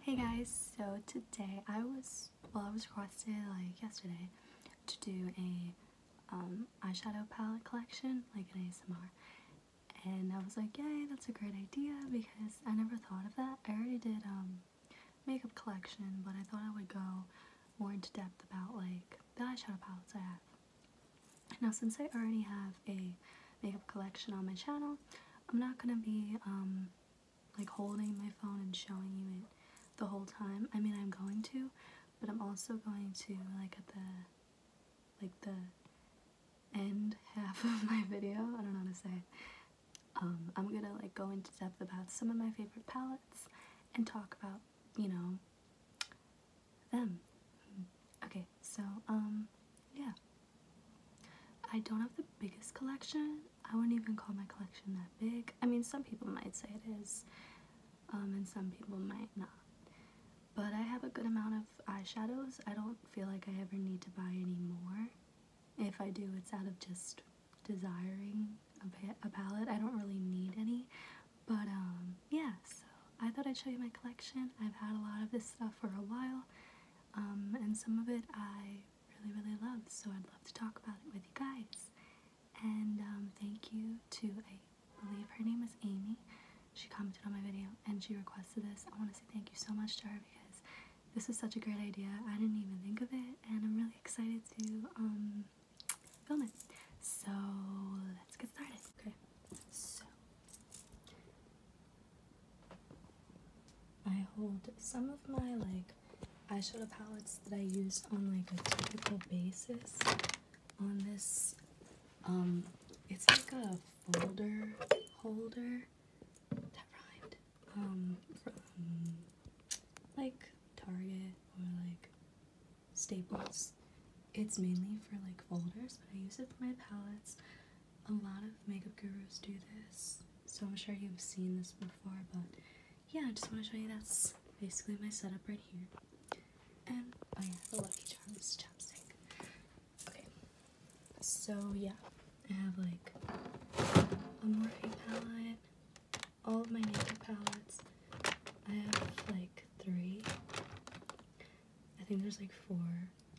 Hey guys, so today I was, well I was requested like yesterday to do a um, eyeshadow palette collection, like an ASMR, and I was like yay that's a great idea because I never thought of that. I already did um, makeup collection but I thought I would go more into depth about like the eyeshadow palettes I have. Now since I already have a makeup collection on my channel, I'm not gonna be um, like holding my phone and showing you it the whole time. I mean I'm going to, but I'm also going to like at the like the end half of my video, I don't know how to say it. Um, I'm gonna like go into depth about some of my favorite palettes and talk about, you know, them. Mm-hmm. Okay, so um yeah. I don't have the biggest collection. I wouldn't even call my collection that big. I mean, some people might say it is, um, and some people might not. But I have a good amount of eyeshadows. I don't feel like I ever need to buy any more. If I do, it's out of just desiring a, palette. I don't really need any. But um, yeah, so I thought I'd show you my collection. I've had a lot of this stuff for a while, um, and some of it I really, really love. so I'd love to talk about it with you guys. And um, thank you to, I believe her name is Amy. She commented on my video and she requested this. I want to say thank you so much to her because this is such a great idea. I didn't even think of it, and I'm really excited to um, film it. So let's get started. Okay, so I hold some of my like eyeshadow palettes that I use on like a typical basis on this. Um, it's like a folder holder that rhymed. Um, from like Target or like Staples. It's mainly for like folders, but I use it for my palettes a lot of makeup gurus do this, so I'm sure you've seen this before, but yeah, I just want to show you that's basically my setup right here. And, oh yeah, the Lucky Charms chapstick. Okay, so yeah, I have like a Morphe palette, all of my makeup palettes. I have like three. I think there's like four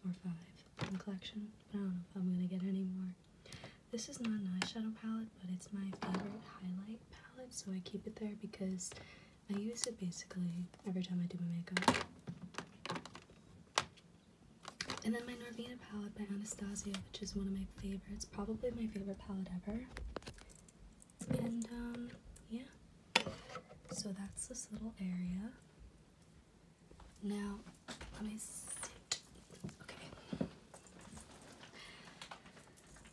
or five in the collection, I don't know if I'm gonna get any more. This is not an eyeshadow palette, but it's my favorite highlight palette, so I keep it there because I use it basically every time I do my makeup. And then my Norvina palette by Anastasia, which is one of my favorites, probably my favorite palette ever. And um, yeah, so that's this little area. Now, let me see. Okay.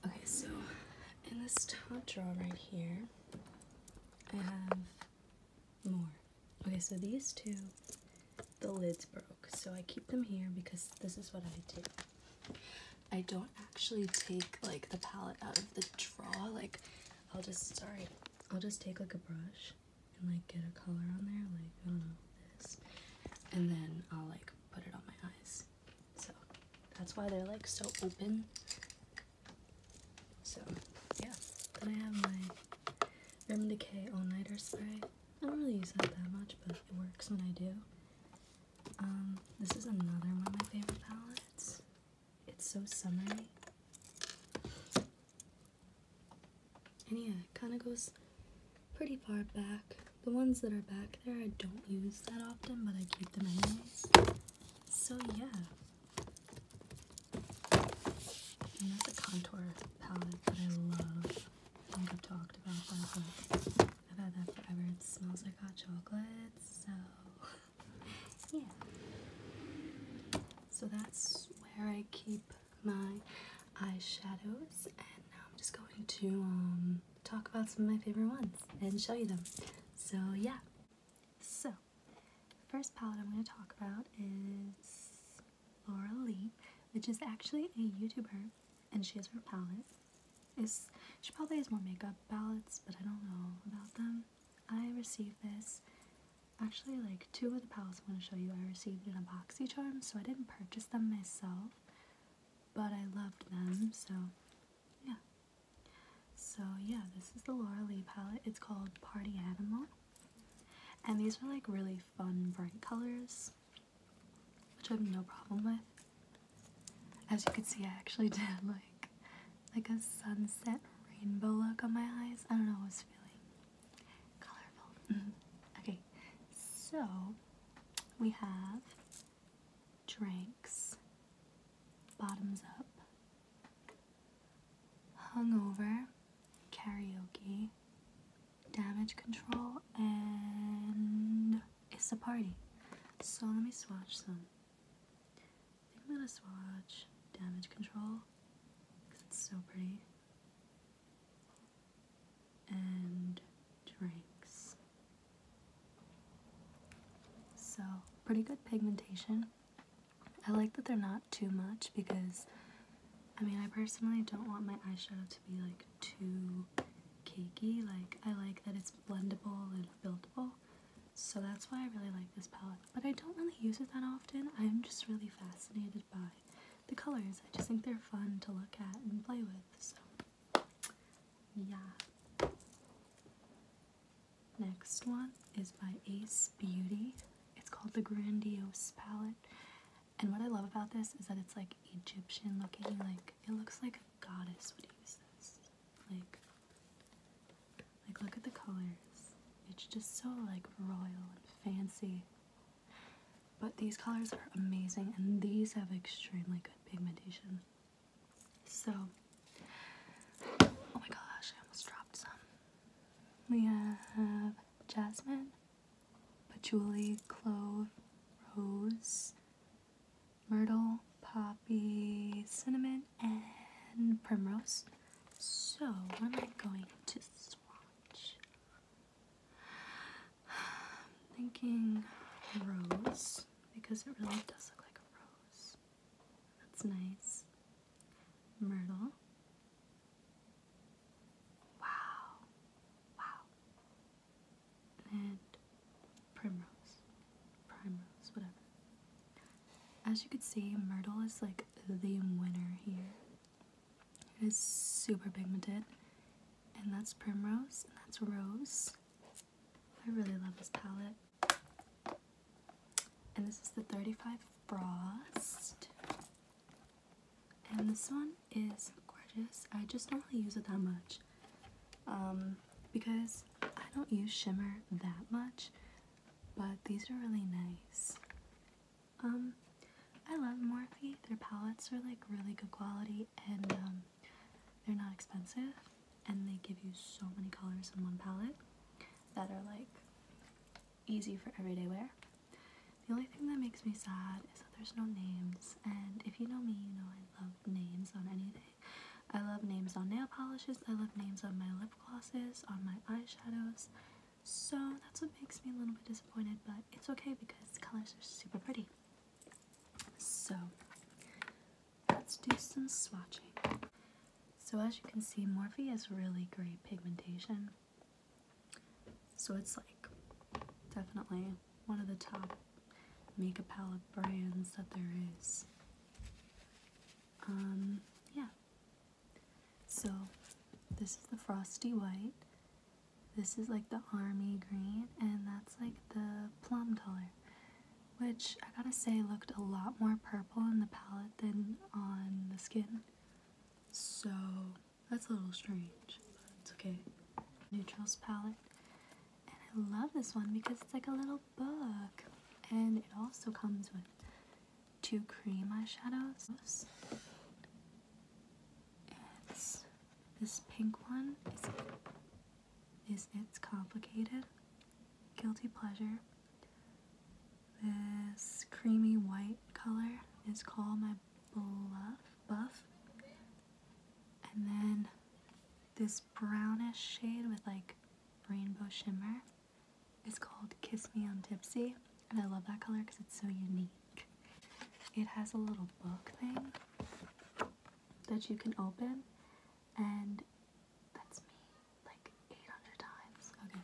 Okay, so in this top drawer right here, I have more. Okay, so these two, the lids broke. So I keep them here because this is what I do. I don't actually take like the palette out of the drawer. Like I'll just, sorry, I'll just take like a brush and like get a color on there, like I don't know this, and then I'll like put it on my eyes. So that's why they're like so open. So yeah, then I have my Urban Decay All Nighter spray. I don't really use that that much, but it works when I do. Um, this is another one of my favorite palettes. It's so summery. And yeah, it kind of goes pretty far back. The ones that are back there I don't use that often, but I keep them anyways. So yeah. And that's a contour palette that I love. I think I've talked about that, but I've had that forever. It smells like hot chocolate, so yeah. So that's where I keep my eyeshadows and now I'm just going to um, talk about some of my favorite ones and show you them. So yeah. So the first palette I'm going to talk about is Laura Lee, which is actually a YouTuber and she has her palette. It's, she probably has more makeup palettes, but I don't know about them. I received this Actually, like two of the palettes I want to show you I received in a box each time, so I didn't purchase them myself, but I loved them, so yeah. So yeah, this is the Laura Lee palette. It's called Party Animal. And these are like really fun, bright colors, which I have no problem with. As you can see, I actually did like like a sunset rainbow look on my eyes. I don't know, I was feeling colorful. Mm-hmm. Okay, so we have drinks, bottoms up, hungover, karaoke, damage control, and it's a party. So let me swatch some. I think I'm gonna swatch damage control because it's so pretty and drinks. So, pretty good pigmentation. I like that they're not too much because, I mean, I personally don't want my eyeshadow to be like too cakey. Like, I like that it's blendable and buildable. So that's why I really like this palette. But I don't really use it that often. I'm just really fascinated by the colors. I just think they're fun to look at and play with. So, yeah. Next one is by Ace Beauty. It's called the Grandiose Palette. And what I love about this is that it's like Egyptian looking, like it looks like a goddess would use this. Like like look at the colors. It's just so like royal and fancy. But these colors are amazing and these have extremely good pigmentation. So, oh my gosh, I almost dropped some. We have jasmine, patchouli, clove, rose, myrtle, poppy, cinnamon, and primrose. So we am not going to swatch. I'm thinking rose because it really does look like a rose. That's nice. Myrtle. Wow. Wow. And primrose. Primrose, whatever. As you can see, Myrtle is like the winner here. It is super pigmented. And that's Primrose, and that's Rose. I really love this palette. And this is the 35 Frost. And this one is gorgeous. I just don't really use it that much. Um, because I don't use shimmer that much, but these are really nice. Um, I love Morphe. Their palettes are like really good quality and um, they're not expensive and they give you so many colors in one palette that are like easy for everyday wear. The only thing that makes me sad is that there's no names and if you know me, you know I love names on anything. I love names on nail polishes, I love names on my lip glosses, on my eyeshadows, so that's what makes me a little bit disappointed, but it's okay because the colors are super pretty. So let's do some swatching. So as you can see, Morphe has really great pigmentation. So it's like definitely one of the top makeup palette brands that there is. Um, yeah. So this is the Frosty White this is like the army green, and that's like the plum color, which I gotta say looked a lot more purple in the palette than on the skin. So that's a little strange, but it's okay. Neutrals palette. And I love this one because it's like a little book. And it also comes with two cream eyeshadows this pink one. Is it, is complicated? Guilty pleasure. This creamy white color is called my bluff buff. And then this brownish shade with like rainbow shimmer is called Kiss Me on Tipsy. And I love that color because it's so unique. It has a little book thing that you can open, and that's me like 800 times. Okay.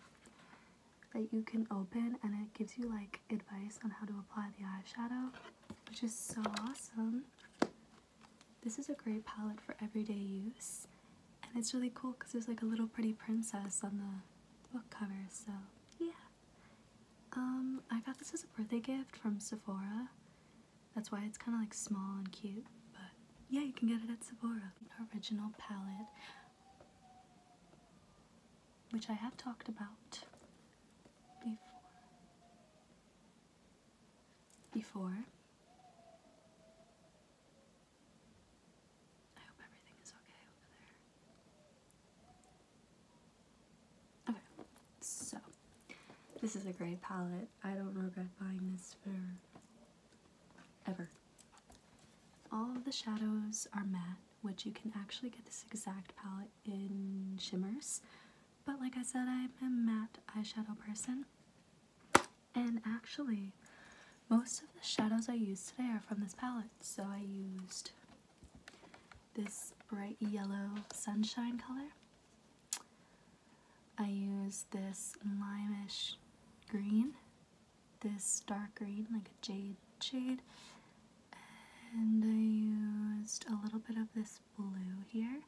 That you can open, and it gives you like advice on how to apply the eyeshadow, which is so awesome. This is a great palette for everyday use, and it's really cool because there's like a little pretty princess on the book cover, so yeah. Um, I got this as a birthday gift from Sephora. That's why it's kind of like small and cute, but yeah, you can get it at Sephora. Original palette, which I have talked about before. Before. Okay, so this is a great palette. I don't regret buying this for ever. All the shadows are matte, which you can actually get this exact palette in shimmers. But like I said, I'm a matte eyeshadow person. And actually, most of the shadows I use today are from this palette. So I used this bright yellow sunshine color. I use this limeish green, this dark green, like a jade shade, and I used a little bit of this blue here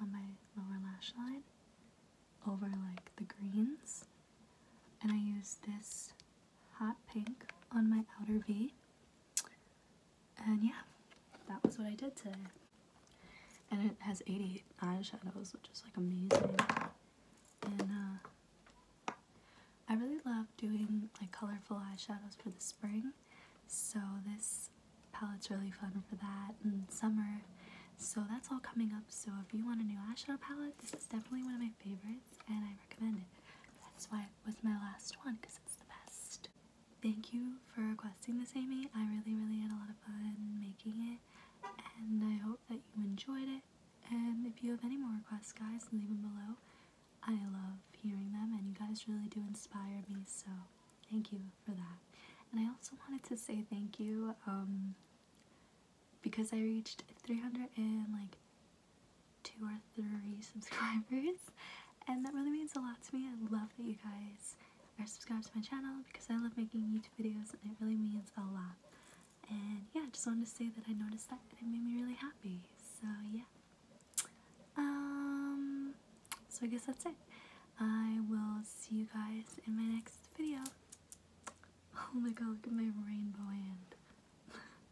on my lower lash line over like the greens, and I used this hot pink on my outer V. And yeah, that was what I did today. And it has 88 eyeshadows, which is like amazing. And uh, I really love doing like colorful eyeshadows for the spring. So this palette's really fun for that and summer. So that's all coming up. So if you want a new eyeshadow palette, this is definitely one of my favorites and I recommend it. That's why it was my last one because it's the best. Thank you for requesting this, Amy. I really, really had a lot of fun making it and I hope that you enjoyed it. And if you have any more requests, guys, leave them below. I love hearing them and you guys really do inspire me, so thank you for that. And I also wanted to say thank you um, because I reached 300 and like two or three subscribers and that really means a lot to me. I love that you guys are subscribed to my channel because I love making YouTube videos and it really means a lot. And yeah, I just wanted to say that I noticed that and it made me really happy. So yeah. Um, so I guess that's it. I will see you guys in my next video. Oh my god, look at my rainbow hand.